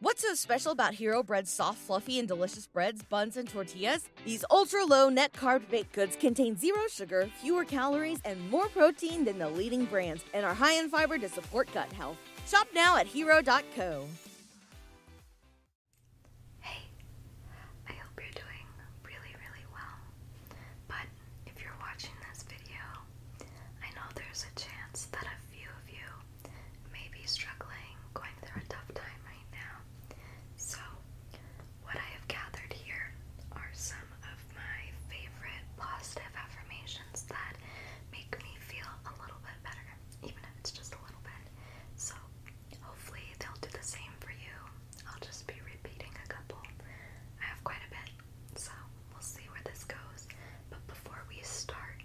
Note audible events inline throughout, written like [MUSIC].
What's so special about Hero Bread's soft, fluffy, and delicious breads, buns, and tortillas? These ultra low net carb baked goods contain zero sugar, fewer calories, and more protein than the leading brands, and are high in fiber to support gut health. Shop now at hero.co. Hey, I hope you're doing really, really well. But if you're watching this video, I know there's a chance that I've few of you may be struggling, going through a tough time right now. So, what I have gathered here are some of my favorite positive affirmations that make me feel a little bit better, even if it's just a little bit. So, hopefully, they'll do the same for you. I'll just be repeating a couple. I have quite a bit, so we'll see where this goes. But before we start,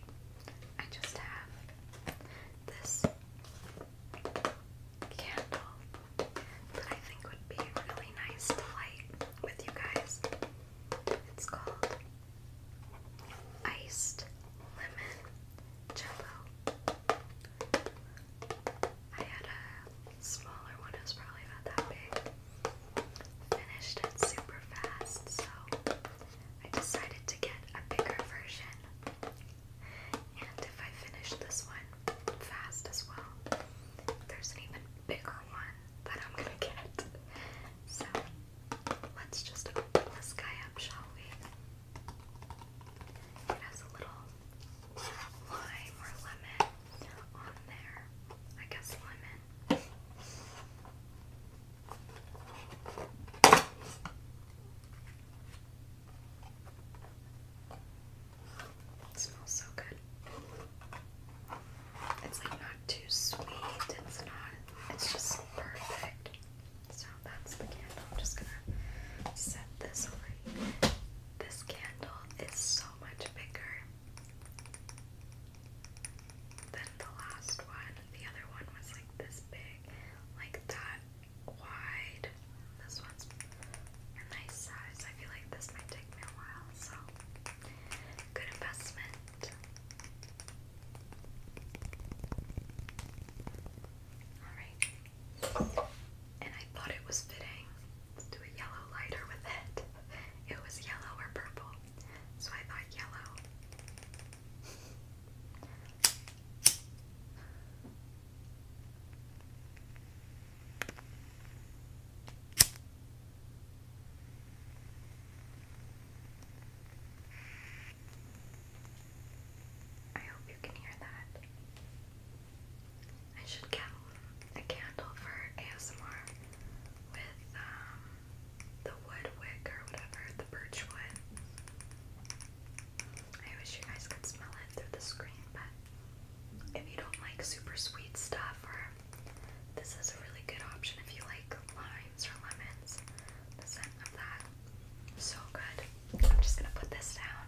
I just have this candle that I think would be really nice to light with you guys. It's called Iced Lemon Jello. I had a smaller one, it was probably about that big. Finished it super fast, so I decided to get a bigger version. And if I finish this one fast as well, there's an even bigger one that I'm gonna get. So let's just open this guy up, shall we? It has a little lime or lemon on there. I guess lemon smells so good. It's like not too sweet. It's not. It's just perfect. So that's the candle. I'm just gonna set this over This candle is so much bigger. Then the last one, the other one was like this big, like that wide. This one's a nice size. I feel like this might take me a while, so good investment. Alright. And I thought it was fitting to do a yellow lighter with it. It was yellow or purple. So I thought yellow. I hope you can hear that. I should get a candle for ASMR with um the wood wick or whatever, the birch wood. I wish you guys could smell it through the screen, but if you don't like super sweet stuff, or this is a really good option if you like limes or lemons, the scent of that. So good. I'm just gonna put this down.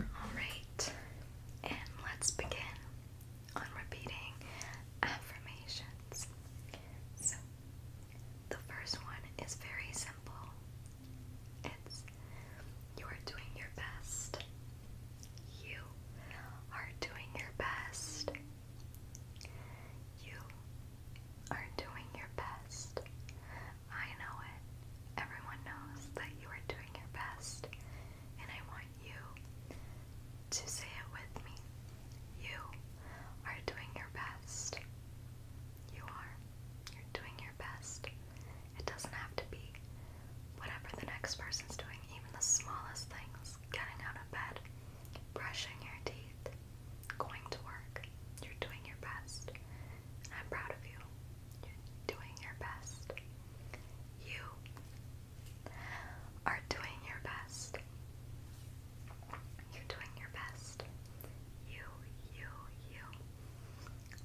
Alright, and let's begin on repeating affirmations. So, the first one is very simple it's you are doing your best. You are doing your best. You are doing your best. I know it. Everyone knows that you are doing your best and I want you to say it with me. You are doing your best. You are. You're doing your best. It doesn't have to be whatever the next person's doing, even the smallest things getting out of bed, brushing your teeth, going to work. You're doing your best. I'm proud of you. You're doing your best. You are doing your best. You're doing your best. You, you, you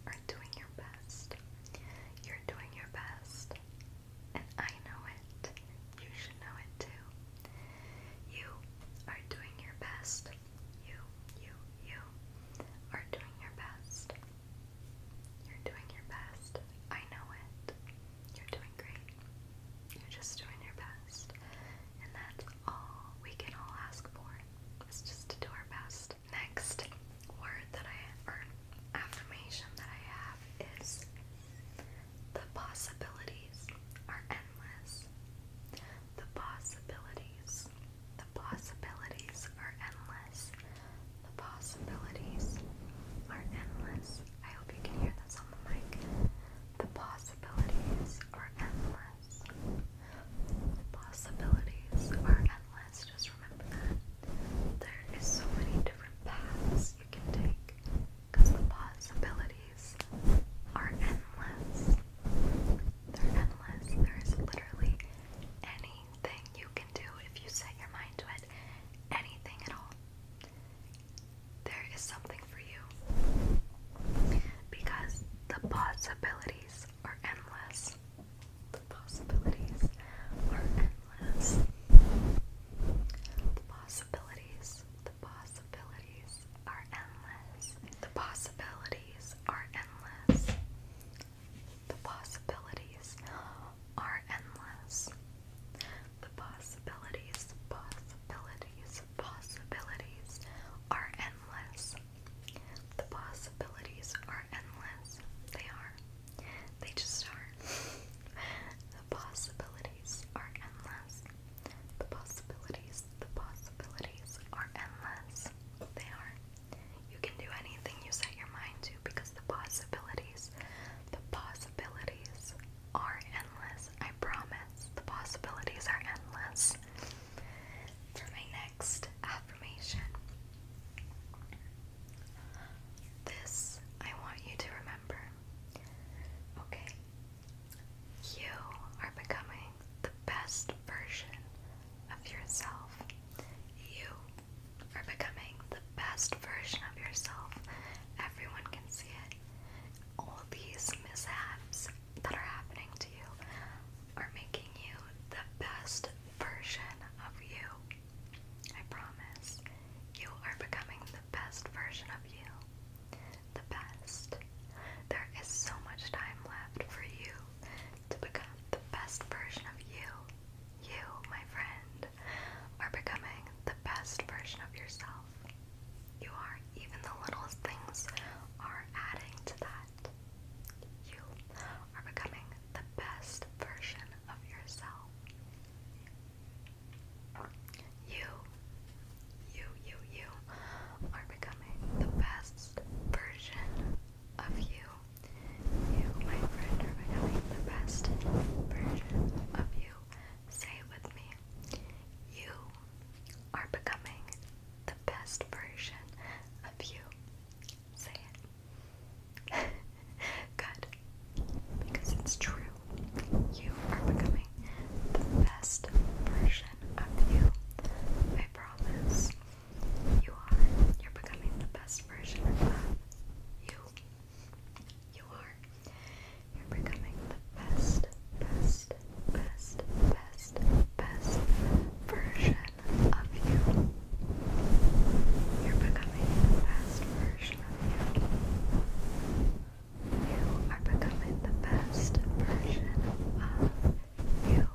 are doing your best. You're doing your best. And I know it. You should know it too. You are doing your best. You, you, you are doing your best. You're doing your best. I know it. You're doing great. You're just doing your best. And that's all we can all ask for is just to do our best. Next word that I, or affirmation that I have is the possibilities are endless. The possibilities, the possibilities are endless. The possibilities are endless. I hope you can hear this on the mic. The possibilities are endless. The possibilities are endless. Just remember that. There is so many different paths you can take the possibilities are endless. They're endless. There is literally anything you can do if you set your mind to it there is something for you because the possibilities are endless. The possibilities are endless. The possibilities, the possibilities are endless. The possibilities are endless. The possibilities are endless. The possibilities, possibilities, possibilities are endless. The possibilities are endless. They are. They just are. [LAUGHS] the possibilities are endless. The possibilities, the possibilities are endless. They are. You can do anything you set your mind to because the possibilities, the possibilities are endless. I promise. The possibilities are endless. For my next affirmation, this I want you to remember. Okay. You are becoming the best version of yourself. You for becoming the best version of yourself. Everyone can see it. All these mishaps that are happening to you are making you the best version of you. I promise. You are becoming the best version of you. The best. There is so much time left for you to become the best version of you. You, my friend, are becoming the best version of yourself. You are, even the littlest things are adding to that. You are becoming the best version of yourself. You, you, you, you are becoming the best version of you. You, my friend, are becoming the best version of you. Say it with me. You are becoming the best version of you. Say it. [LAUGHS] Good. Because it's true. You are becoming the best version of you. I promise. You are. You're becoming the best version of you you. are. You're becoming the best, best, best, best, best version of you. You're becoming the best version of you. You are becoming the best version of you. You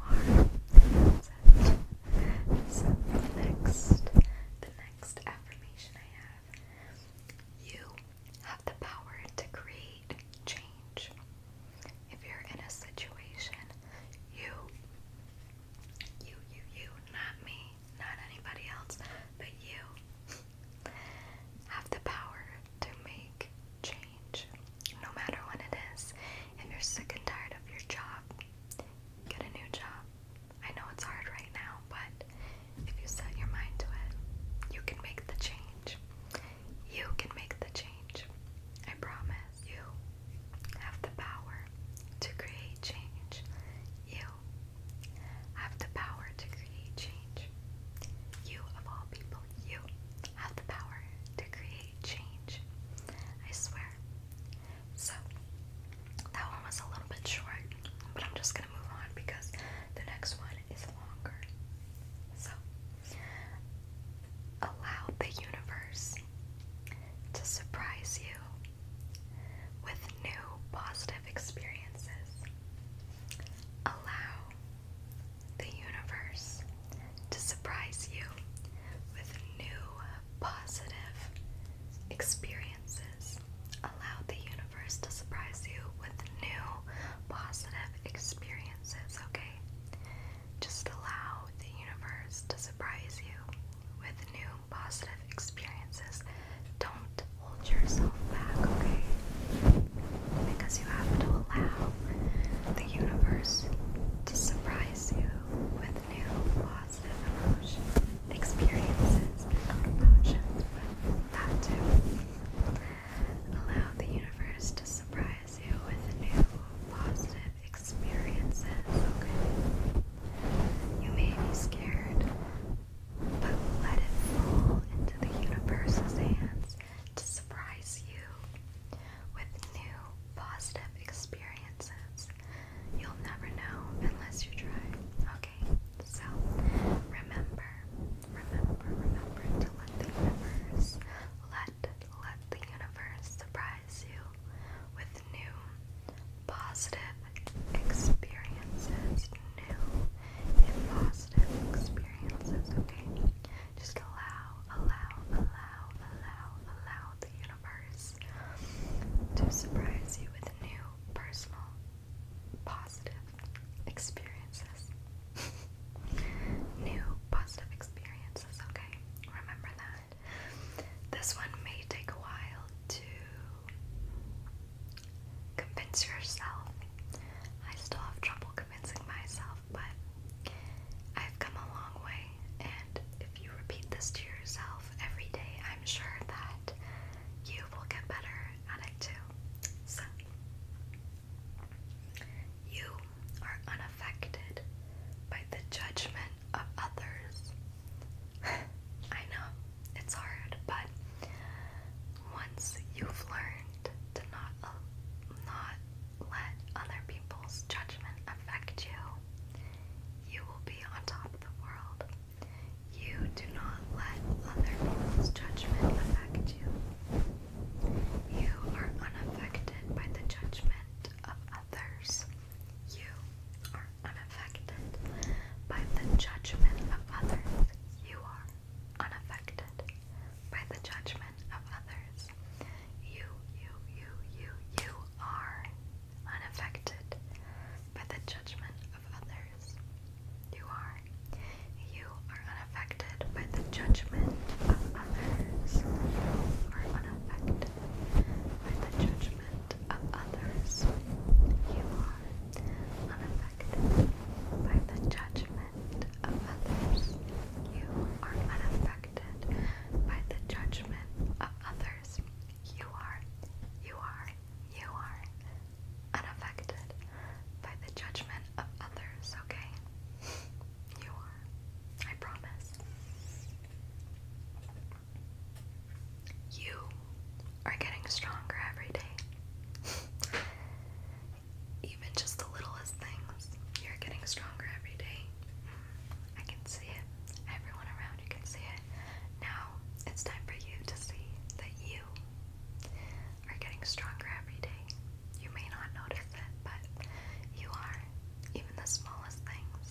are set. So the next, the next affirmation I have. You have the power to create change. If you're in a situation, you, you, you, you, not me, not anybody else, but you have the power to make change. No matter what it is, if you're sick and tired of your job, get a new job. I know it's hard right now, but if you set your mind to it, you can make the change. You can make the change. I promise you have the power to create change. You have the power to create change. You, of all people, you have the power to create change. I swear, so that one was a little bit short, but I'm just gonna move on because the next one is longer. So allow the universe to surprise you with new positive experiences. Allow the universe to surprise you with new positive experiences. Allow the universe to surprise you with new positive experiences, okay? Just allow the universe to surprise you with new positive experiences. Don't hold yourself back, okay? Because you have to allow the universe to surprise you with new positive emotion experiences emotions, that Allow the universe to surprise you with new positive experiences, You may be scared, but let it fall into the universe's hands to surprise you with new positive experiences. You'll never know unless you try. Okay, so remember, remember, remember to let the universe, let, let the universe surprise you with new positive experiences, new positive experiences, okay? Just allow, allow, allow, allow, allow the universe to surprise you with new personal positive experiences. new positive experiences, okay? Remember that. This one may take a while to convince yourself. I still have trouble convincing myself, but I've come a long way and if you repeat this to yourself every day, I'm sure that you will get better at it too. So, you are unaffected by the judgment of others. [LAUGHS] I know it's hard, but once you've learned to not uh, not let other people's judgment affect you, you will be on top of the world. You do not let other people's judgment affect you. You are unaffected by the judgment of others. You are unaffected by the judgment of others. You are unaffected by the judgment of others. You, you, you, you, you are unaffected by the judgment of others. You are. You are unaffected by the judgment of others. You are unaffected by the judgment of others. You are unaffected by the judgment of others. You are unaffected by the judgment of others. You are, you are, you are unaffected by the judgment of others, okay? You are. I promise. You are getting stronger every day. [LAUGHS] Even just the littlest things, you're getting stronger every day. I can see it. Everyone around you can see it. Now it's time for you to see that you are getting stronger every day. You may not notice it, but you are. Even the smallest things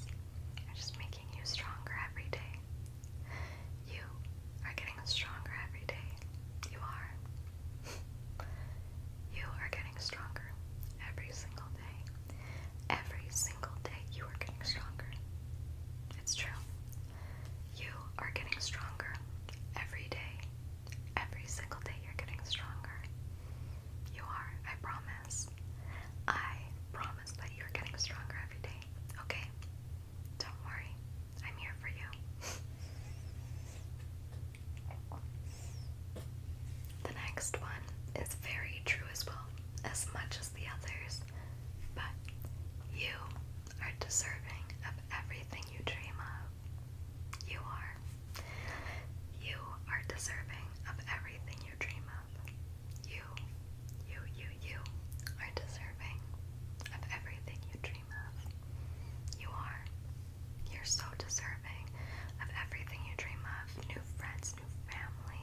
are just making you stronger every day. You are getting stronger every day. You are. [LAUGHS] you are getting stronger every single Every single day, you are getting stronger. It's true. You are getting stronger every day. Every single day, you're getting stronger. You are, I promise. I promise that you're getting stronger every day, okay? Don't worry, I'm here for you. [LAUGHS] The next one is very true as well as much as the others, but you are deserving of everything you dream of. You are. You are deserving of everything you dream of. You, you, you, you are deserving of everything you dream of. You are. You're so deserving of everything you dream of new friends, new family,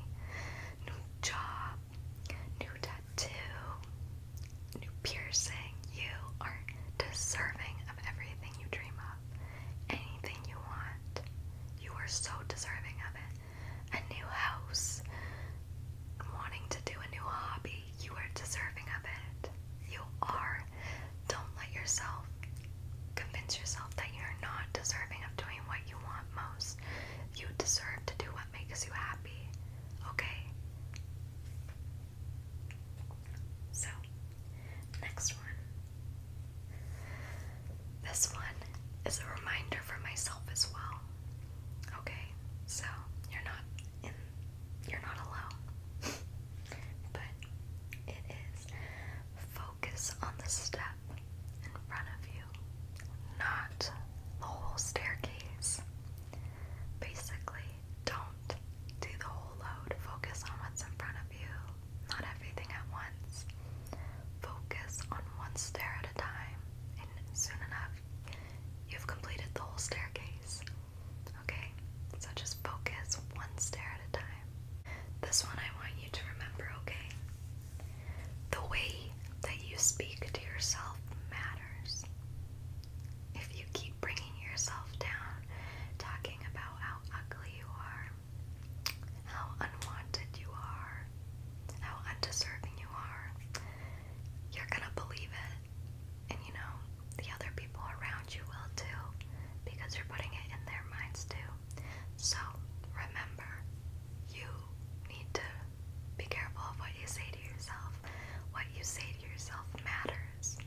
new job, new tattoo, new piercing. You are deserving of everything you dream of, anything you want. You are so deserving of it. A new house, wanting to do a new hobby. You are deserving of it. You are. Don't let yourself convince yourself that you're not deserving of doing what you want most. You deserve to do what makes you happy, okay? So, next one. This one is a reminder for myself as well. Okay, so you're not in you're not alone. [LAUGHS] but it is focus on the step in front of you, not the whole staircase. Basically, don't do the whole load. Focus on what's in front of you, not everything at once. Focus on one stair at a time, and soon enough, you've completed the whole staircase. Okay? So just focus one stair at a time. This one I want you to remember, okay? The way that you speak to yourself matters. If you keep bringing yourself down, talking about how ugly you are, how unwanted you are, how undeserving you are, you're gonna believe it. And you know, the other people around you will too, because you're putting it in their minds too. So remember, you need to be careful of what you say to yourself. What you say to yourself matters.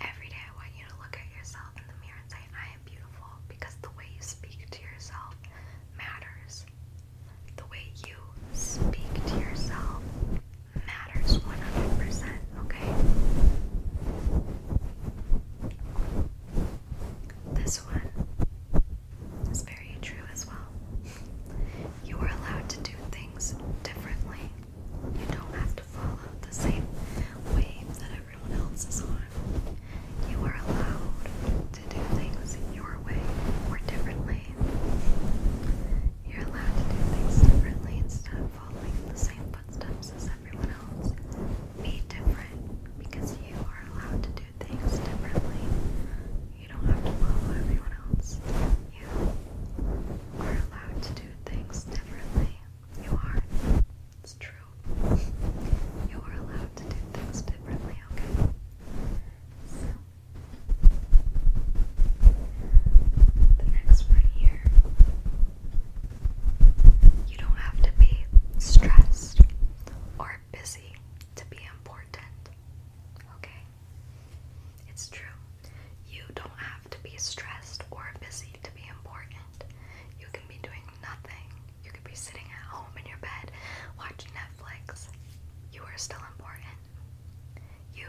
Every day, I want you to look at yourself in the mirror and say, I am beautiful because the way you speak to yourself matters. The way you speak to yourself matters 100%, okay? This one is very true as well. You are allowed to do things differently. You don't have to follow the same way that everyone else is on. You are allowed to do things your way or differently. You're allowed to do things differently instead of following the same footsteps as everyone else. Be different because you are allowed to do things differently. You don't have to follow everyone else. You are allowed to do things differently. You are. It's true. You are allowed to do things differently, okay? So, the next one here. You don't have to be stressed or busy to be important. Okay? It's true. You don't have to be stressed or busy to be important. You can be doing nothing. You could be sitting at home in your bed watching Netflix. You are still important. You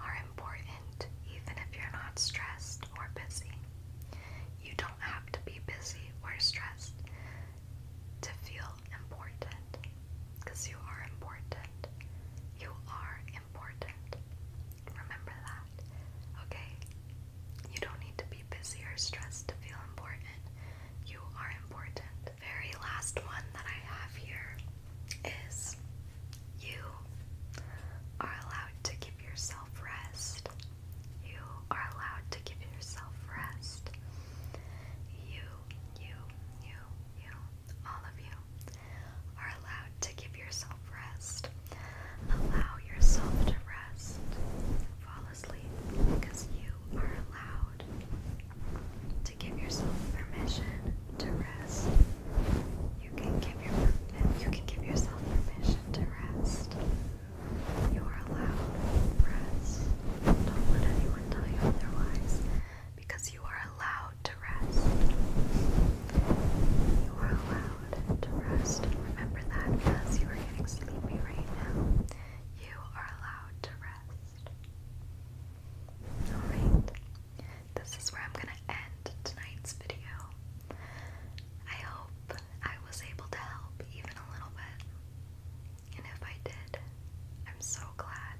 are important even if you're not stressed or busy. You don't have to be busy or stressed to feel important because you are important. You are important. Remember that, okay? You don't need to be busy or stressed to feel important. You are important. The very last one that I have here is you are allowed to give yourself rest. You are allowed to give yourself rest. You, you, you, you, all of you are allowed to give yourself rest. Allow yourself to rest. Fall asleep because you are allowed to give yourself permission to rest. You can give your you can give yourself permission to rest. You are allowed rest. Don't let anyone tell you otherwise because you are allowed to rest. You are allowed to rest. remember that because you are getting sleepy right now. You are allowed to rest. Alright. This is where I'm going to end tonight's video. I hope I was able to help even a little bit. And if I did, I'm so glad.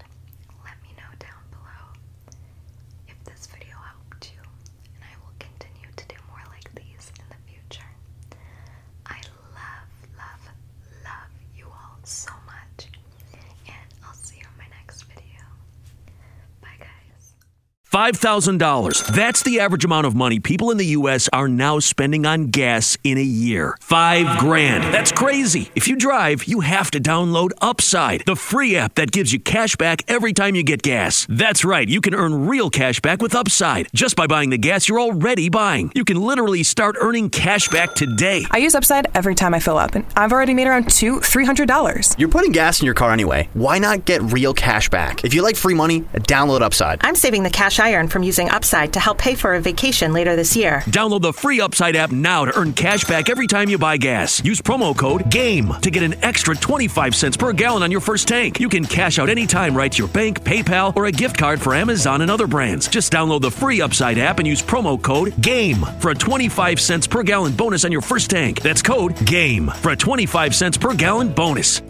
Let me know down below if this video helped you, and I will continue to do more like these in the future. I love, love, love you all so much, and I'll see you in my next video. Bye, guys. $5,000. That's the average amount of money people in the U.S. are now spending on gas in a year. Five grand. That's crazy. If you drive, you have to download Upside, the free app that gives you cash back every time you get gas. That's right, you can earn real cash back with Upside just by buying the gas you're already buying. You can literally start earning cash back today. I use Upside every time I fill up, and I've already made around two, three hundred dollars. You're putting gas in your car anyway. Why not get real cash back? If you like free money download Upside. I'm saving the cash I earn from using Upside to help pay for a vacation later this year. Download the free Upside app now to earn cash back every time you buy gas. Use promo code GAME to get an extra 25 cents per gallon on your first tank. You can cash out anytime right to your bank, PayPal, or a gift card for Amazon and other brands. Just download the free Upside app and use promo code GAME for a 25 cents per gallon bonus on your first tank. That's code GAME for a 25 cents per gallon bonus.